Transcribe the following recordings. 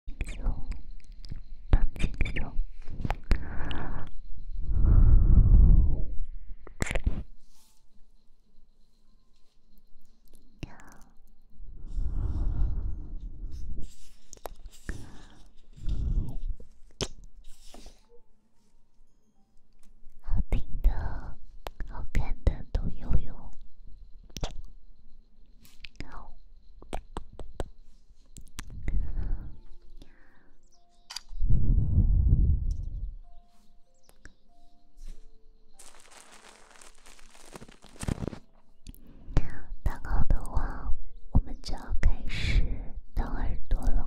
好听的、好看的都有有。大耳朵，我们就要开始挠耳朵了。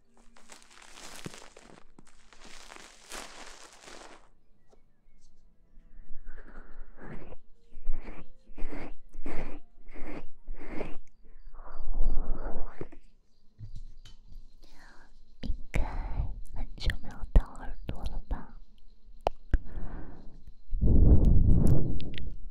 应该很久没有掏耳朵了吧？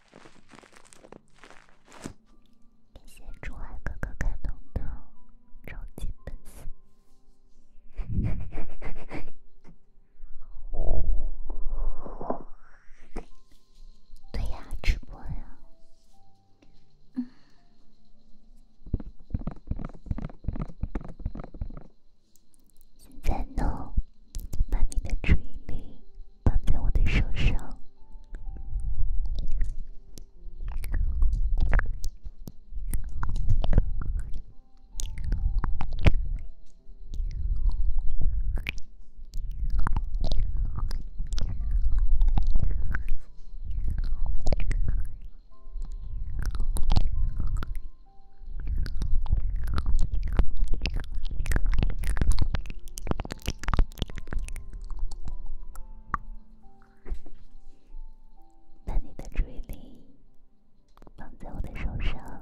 感谢珠海哥哥感动的超级粉丝。对呀，直播呀。嗯。现在呢，把你的注意力。放在我的手上。把你的注意力放在我的手上。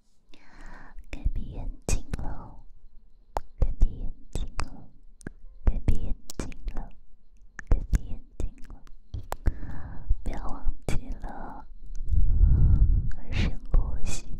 该闭眼睛了，该闭眼睛了，该闭眼睛了，该闭眼睛了，不要忘记了深呼吸。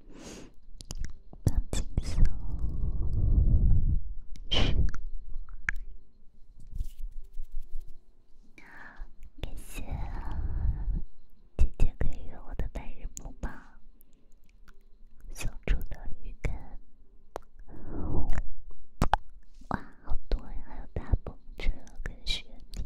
抱紧我！好，感谢姐姐可以用我的白日梦吗？送出的预感，哇，好多呀！还有大风车跟雪地。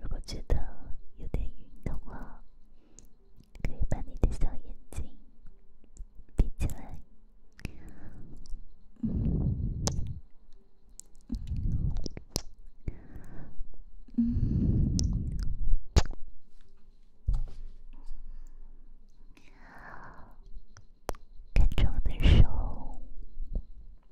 如果觉得有点晕的话，可以把你的小眼睛闭起来，嗯，嗯，嗯，跟着我的手。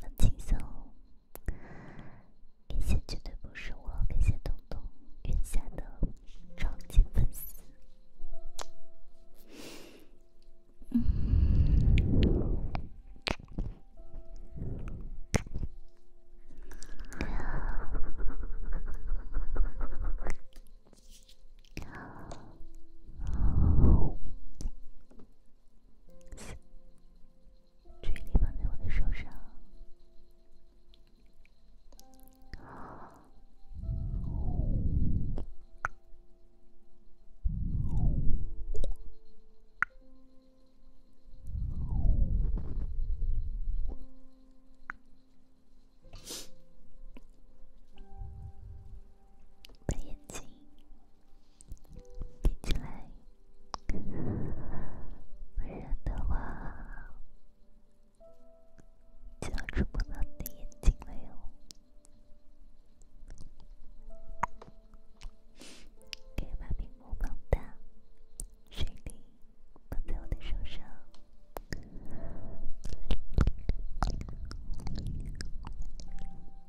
很轻松，感谢绝对不是我，感谢彤彤云下的超级粉丝。距离放在我的手上。把眼睛闭起来，不然的话就要触碰到你眼睛了哟。可以把屏幕放大，水灵放在我的手上。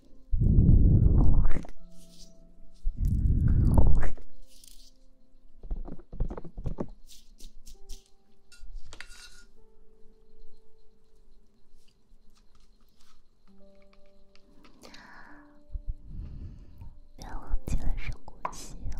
不要忘记了深呼吸哦。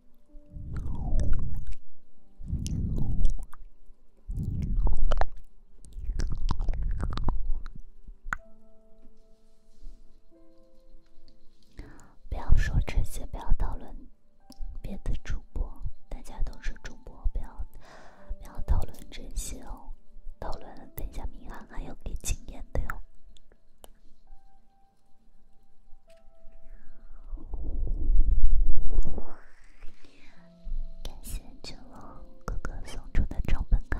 不要说这些，不要讨论别的主播，大家都是主播，不要不要讨论这些哦，讨论等一下名号还有给经验的哟。感谢猪龙哥哥送出的超本卡。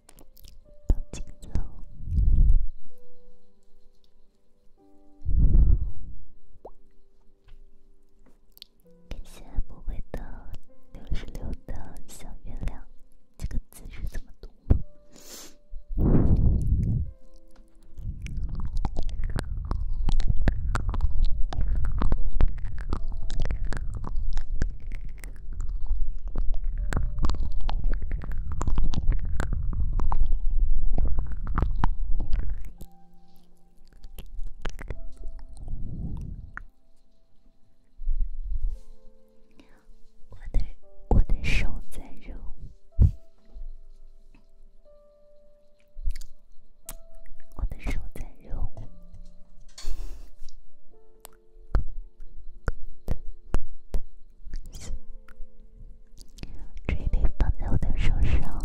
抱紧走。感谢木卫的六十六的小月亮，这个字是怎么读的？我的我的手在揉，我的手在揉。注意力放在我的手上，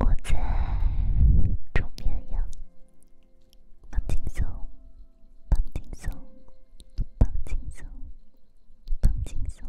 我在煮绵羊，放轻松，放轻松，放轻松，放轻松。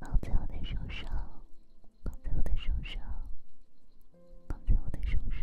放在我的手上，放在我的手上，放在我的手上。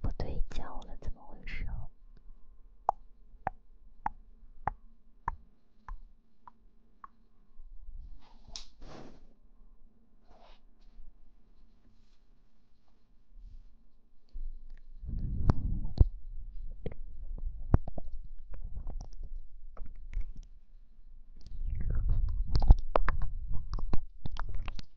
不对焦了，怎么回事？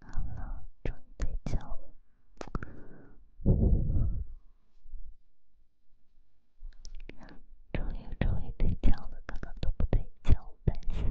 好了，注意睡觉。终于终于睡觉了，刚刚都不睡觉，担心。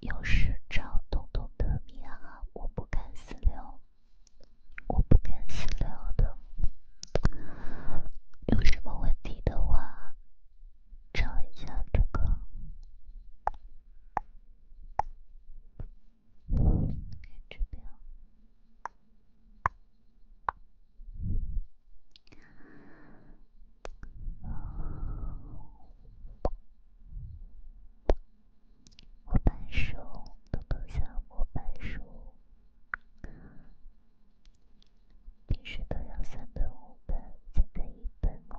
有事找东东的密码，我不敢私聊，我不敢私聊的。有什么问题的话，找一下这个。我板书，都能像我板书，平时都要三分钟板，现在一分钟。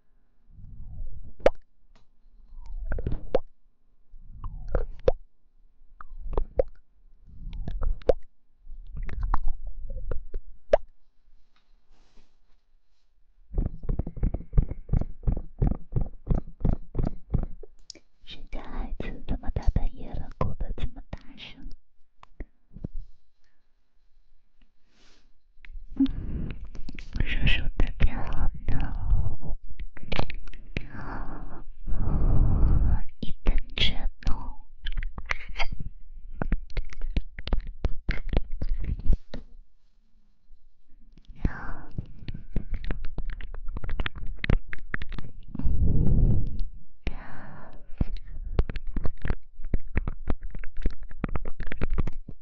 谁家孩子？这么大半夜了，哭得这么大声？叔叔的票呢？一个人哦。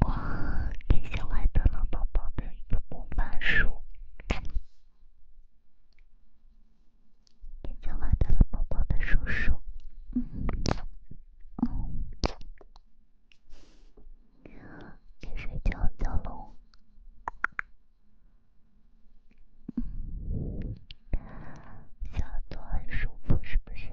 我给小爱得了宝宝的一个魔法书，给小爱得了宝宝的叔叔，嗯，嗯，该睡觉觉喽，小段书不是不想。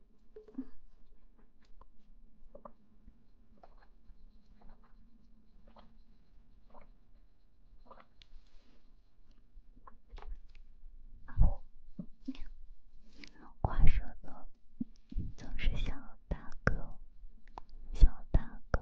不，挂舌头，总是小大哥，小大哥。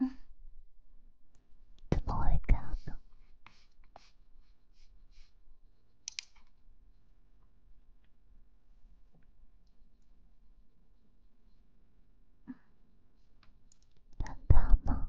嗯，怎么会这样呢？难道吗？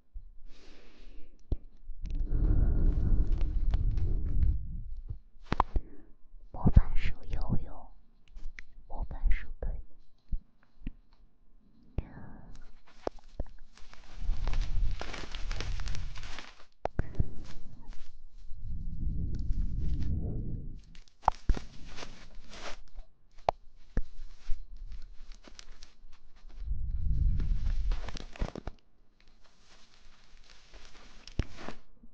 魔法树有用，魔法树可以。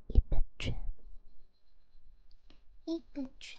一个圈，一个圈。Thank you.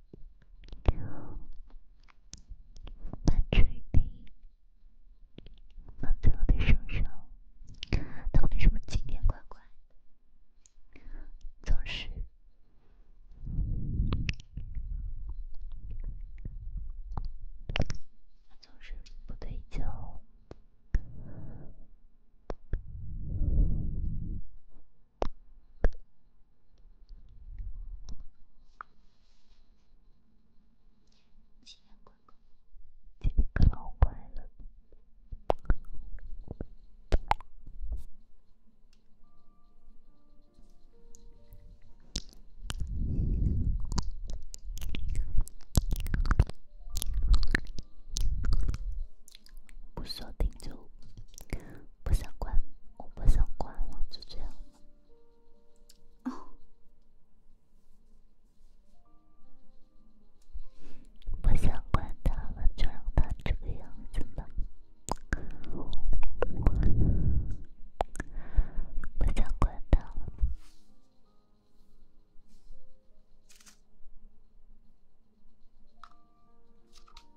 把锤子放在我的手上，他为什么今天乖乖？总是总是不对焦。这边可好乖了，不说停住。不想管，我不想管了，就这样。吧。不想管他了，就让他这个样子吧。不想管他了。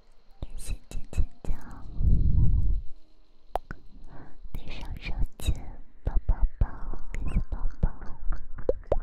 感谢芊芊酱，地上上钱，抱抱抱，感谢宝宝，抱抱抱。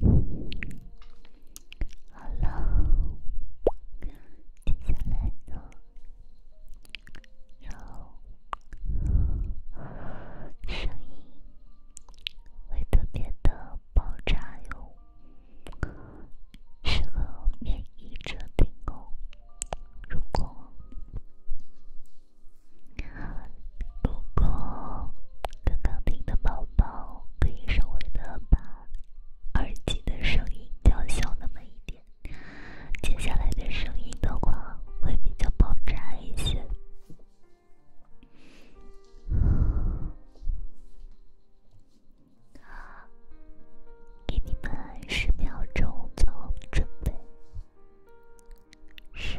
好了，接下来呢，然后声音会特别的爆炸哟，适合免疫者听哦。如果，如果刚刚听的宝宝。可以稍微的把耳机的声音调小那么一点，接下来的声音的话会比较爆炸一些。给你们十秒钟，做我准备。十。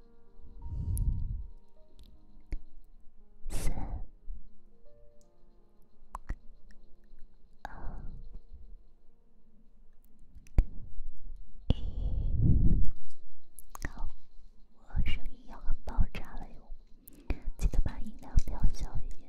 三、二、一，好，我声音要很爆炸了哟，记得把音量调小一点。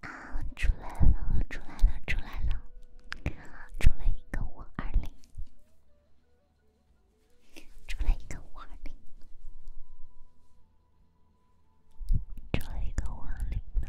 啊，出来了，出来了，出来了，出了一个五二零，出了一个五二零，出了一个五二零呢。